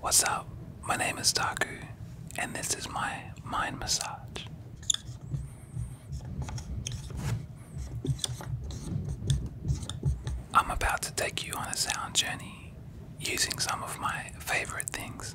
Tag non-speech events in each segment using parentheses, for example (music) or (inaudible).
What's up? My name is Taku, and this is my mind massage. I'm about to take you on a sound journey using some of my favorite things.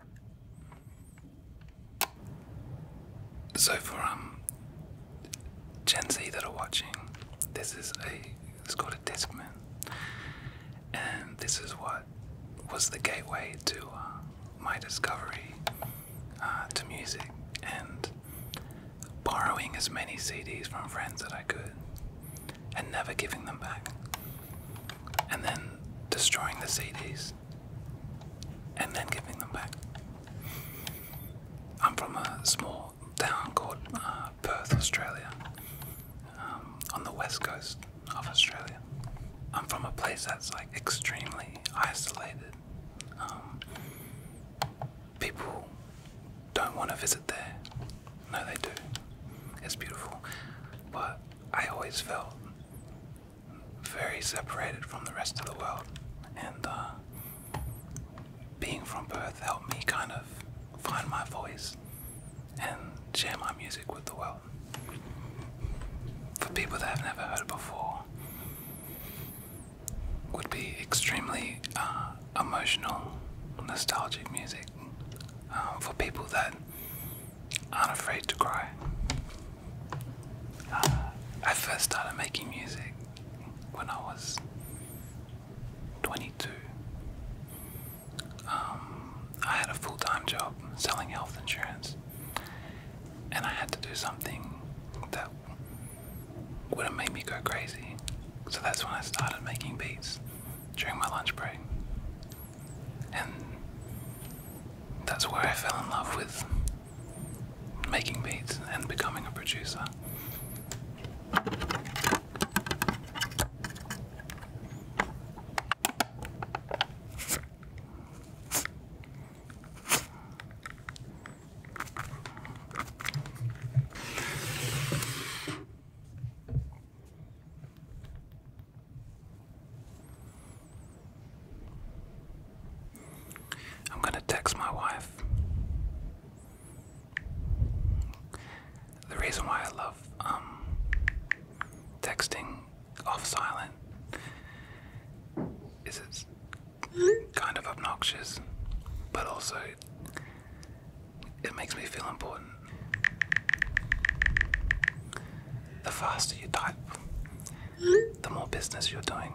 So for um Gen Z that are watching, this is a it's called a Discman, and this is what was the gateway to uh, my discovery uh, to music and borrowing as many CDs from friends that I could and never giving them back and then destroying the CDs and then giving them back. I'm from a small town called uh, Perth, Australia, um, on the west coast of Australia. I'm from a place that's like extremely isolated. Um, people don't want to visit there. No, they do. It's beautiful. But I always felt very separated from the rest of the world, and uh, being from Perth helped me kind of find my voice and share my music with the world. For people that have never heard it before, would be extremely uh, emotional, nostalgic music. Uh, for people that Unafraid to cry. Uh, I first started making music when I was 22. Um, I had a full time job selling health insurance, and I had to do something that would have made me go crazy. So that's when I started making beats during my lunch break. And that's where I fell in love with making beats and becoming a producer. I'm going to text my wife. The reason why I love um, texting off silent is it's kind of obnoxious, but also it makes me feel important. The faster you type, the more business you're doing.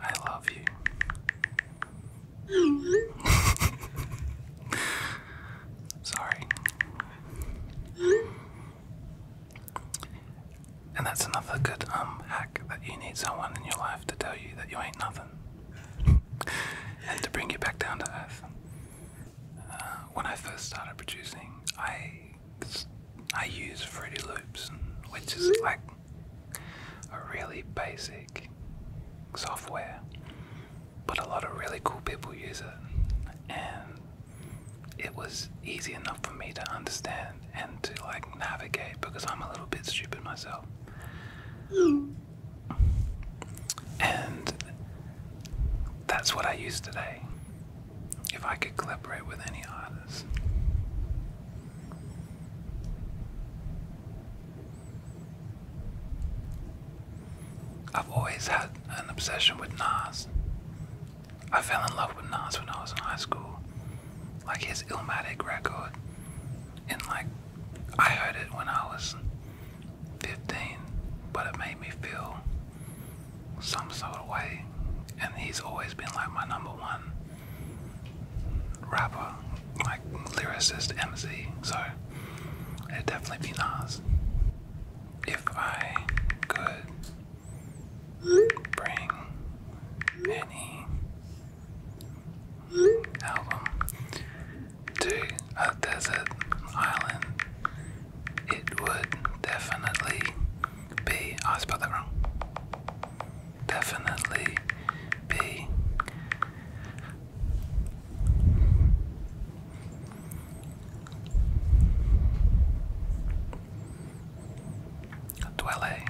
I love you. (laughs) Sorry. And that's another good um hack that you need someone in your life to tell you that you ain't nothing. (laughs) and to bring you back down to earth when I first started producing, I I use Fruity Loops, which is mm-hmm. like a really basic software, but a lot of really cool people use it, and it was easy enough for me to understand and to like navigate because I'm a little bit stupid myself. Mm. And that's what I use today. If I could collaborate with any artist. I've always had an obsession with Nas. I fell in love with Nas when I was in high school. Like his Illmatic record. And like I heard it when I was 15, but it made me feel some sort of way. And he's always been like my number one rapper, like lyricist, MC. So it'd definitely be Nas. If I could bring any album to a desert island, it would definitely be. I spelled that wrong. Definitely be dwelling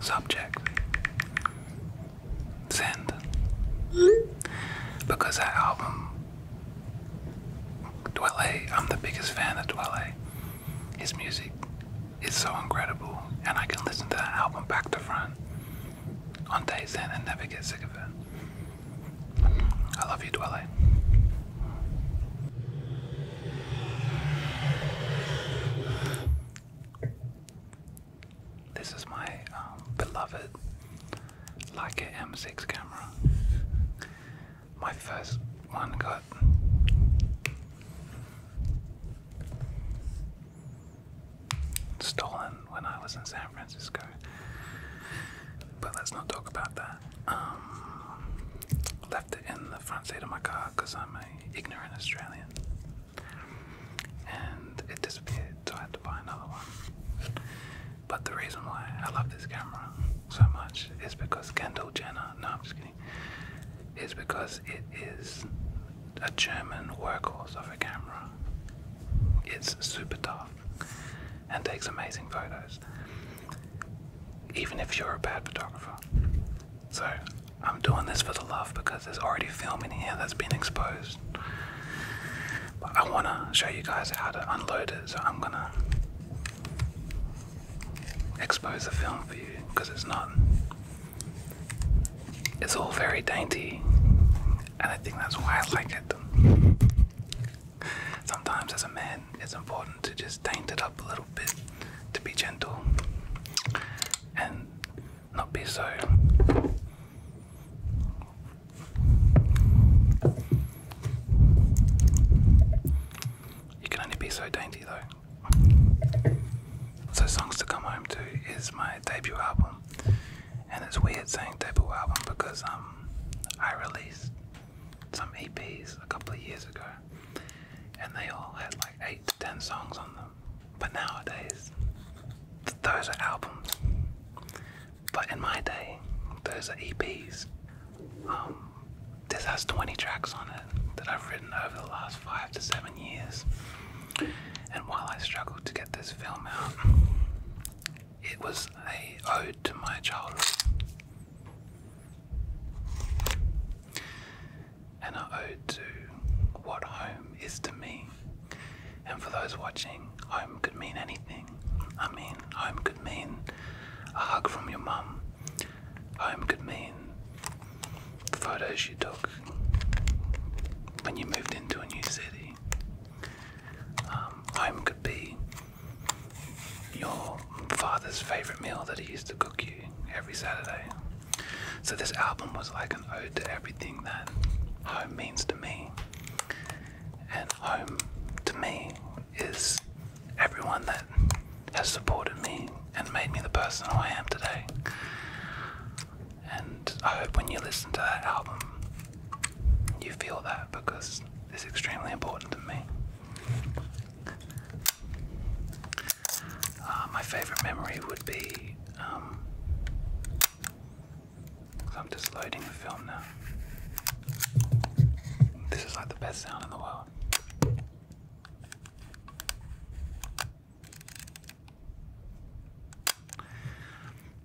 subject Send. Because that album, Dwelle, I'm the biggest fan of Dwelle. His music is so incredible, and I can listen to that album back to front on days in and never get sick of it. I love you, Dwelle. This is my um, beloved Leica M6 camera. My first one got. Stolen when I was in San Francisco, but let's not talk about that. Um, left it in the front seat of my car because I'm an ignorant Australian and it disappeared, so I had to buy another one. But the reason why I love this camera so much is because Kendall Jenner, no, I'm just kidding, is because it is a German workhorse of a camera. It's super tough and takes amazing photos, even if you're a bad photographer. So I'm doing this for the love because there's already film in here that's been exposed. But I want to show you guys how to unload it, so I'm going to expose the film for you because it's not. It's all very dainty, and I think that's why I like it. (laughs) Sometimes, as a man, it's important to just daint it up a little bit to be gentle and not be so you can only be so dainty though. So Songs to Come Home To is my debut album and it's weird saying debut album because um I released some EPs a couple of years ago and they all had like eight to ten songs on them. But nowadays, those are albums. But in my day, those are EPs. Um, this has 20 tracks on it that I've written over the last five to seven years. And while I struggled to get this film out, it was a ode to my childhood and are owed to what home is to me. And for those watching, home could mean anything. I mean, home could mean a hug from your mum, home could mean the photos you took when you moved into a new city. Um, home could be your father's favourite meal that he used to cook you every Saturday. So this album was like an ode to everything that home means to me. And home to me is everyone that has supported me and made me the person who I am today. And I hope when you listen to that album, you feel that because it's extremely important to me. Uh, my favorite memory would be. Um, I'm just loading the film now. This is like the best sound in the world.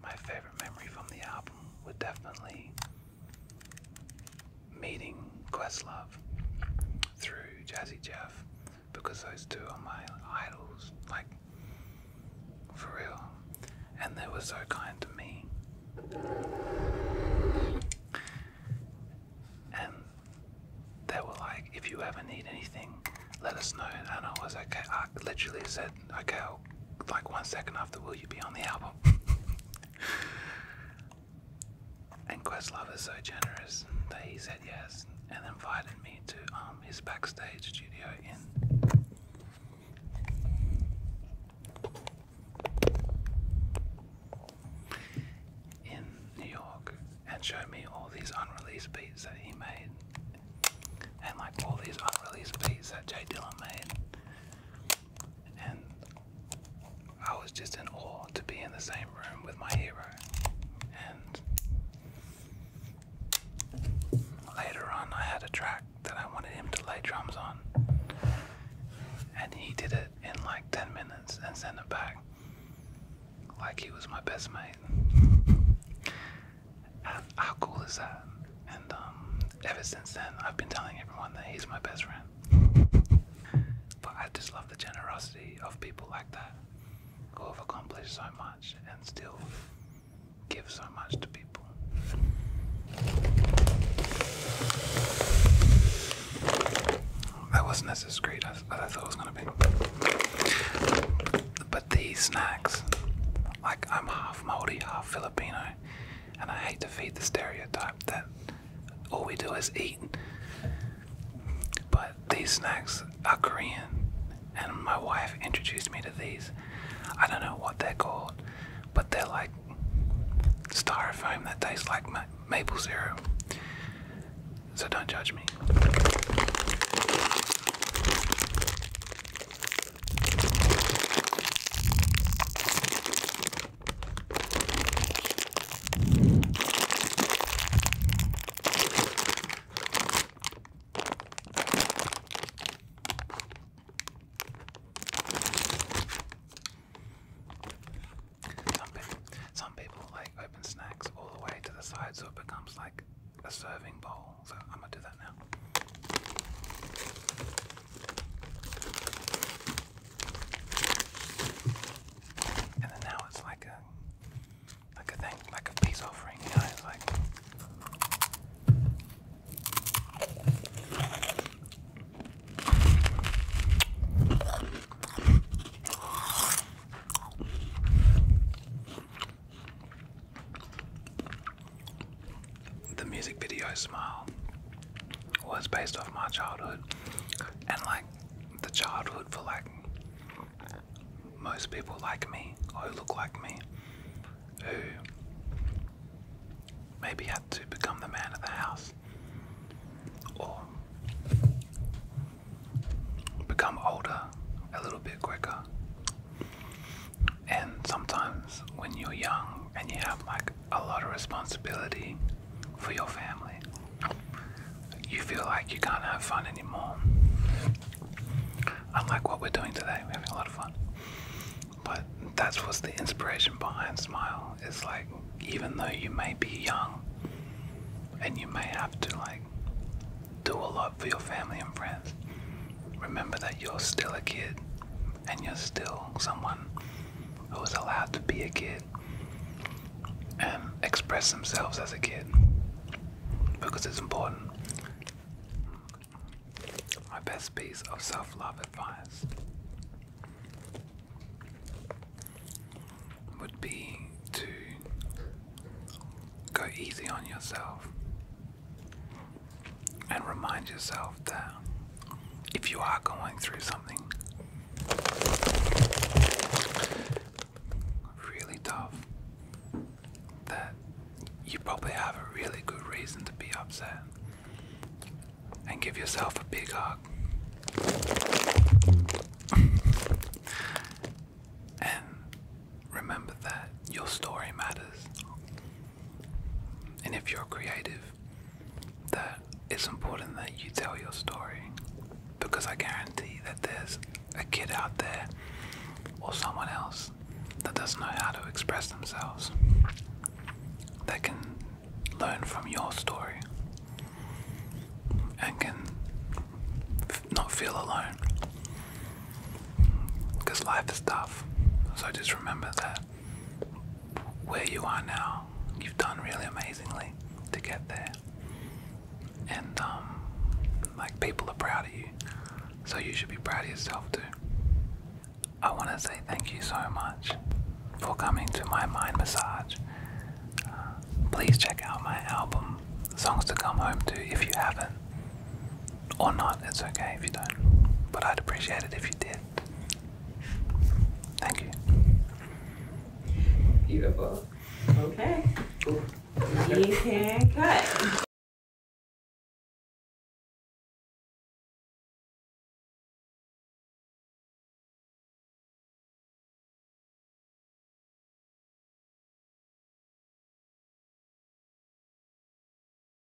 My favorite memory from the album would definitely meeting Questlove through Jazzy Jeff because those two are my idols, like for real. And they were so kind to me. And they were like, if you ever need anything, let us know. And I was okay. I literally said, okay, like one second after, will you be on the album? (laughs) And Questlove is so generous that he said yes and invited me to um, his backstage studio in. In New York, and showed me all these unreleased beats that he made, and like all these unreleased beats that Jay Dylan made, and I was just in awe to be in the same room with my hero. And later on, I had a track that I wanted him to lay drums on, and he did it in like 10 minutes and sent it back like he was my best mate. (laughs) How cool is that? And um, ever since then, I've been telling everyone that he's my best friend. (laughs) but I just love the generosity of people like that who have accomplished so much and still give so much to people. That wasn't as discreet as I thought it was going to be. But these snacks, like I'm half Maori, half Filipino, and I hate to feed the stereotype that all we do is eat. But these snacks are Korean, and my wife introduced me to these. I don't know what they're called, but they're like styrofoam that tastes like maple syrup. So don't judge me. Some people, some people like open snacks all the way to the side so it becomes like a serving bowl. So I'm gonna do that now. And now it's like a like a thing, like a peace offering, you know, like the music video smile was based off my childhood. And like the childhood for like most people like me who look like me who maybe had to become the man of the house or become older a little bit quicker. And sometimes when you're young and you have like a lot of responsibility for your family. You feel like you can't have fun anymore. Unlike what we're doing today, we're having a lot of fun. But that's what's the inspiration behind Smile. It's like, even though you may be young and you may have to, like, do a lot for your family and friends, remember that you're still a kid and you're still someone who was allowed to be a kid and express themselves as a kid because it's important. My best piece of self love advice would be to go easy on yourself and remind yourself that if you are going through something really tough, that you probably have a really good reason to be upset. And give yourself a big hug. and remember that your story matters. And if you're creative, that it's important that you tell your story because I guarantee that there's a kid out there or someone else that doesn't know how to express themselves that can learn from your story and can not feel alone because life is tough. So just remember that where you are now. You've done really amazingly to get there. And, um, like, people are proud of you. So you should be proud of yourself too. I want to say thank you so much for coming to my mind massage. Uh, please check out my album, Songs to Come Home To, if you haven't. Or not, it's okay if you don't. But I'd appreciate it if you did. Thank you. Beautiful. Okay. We can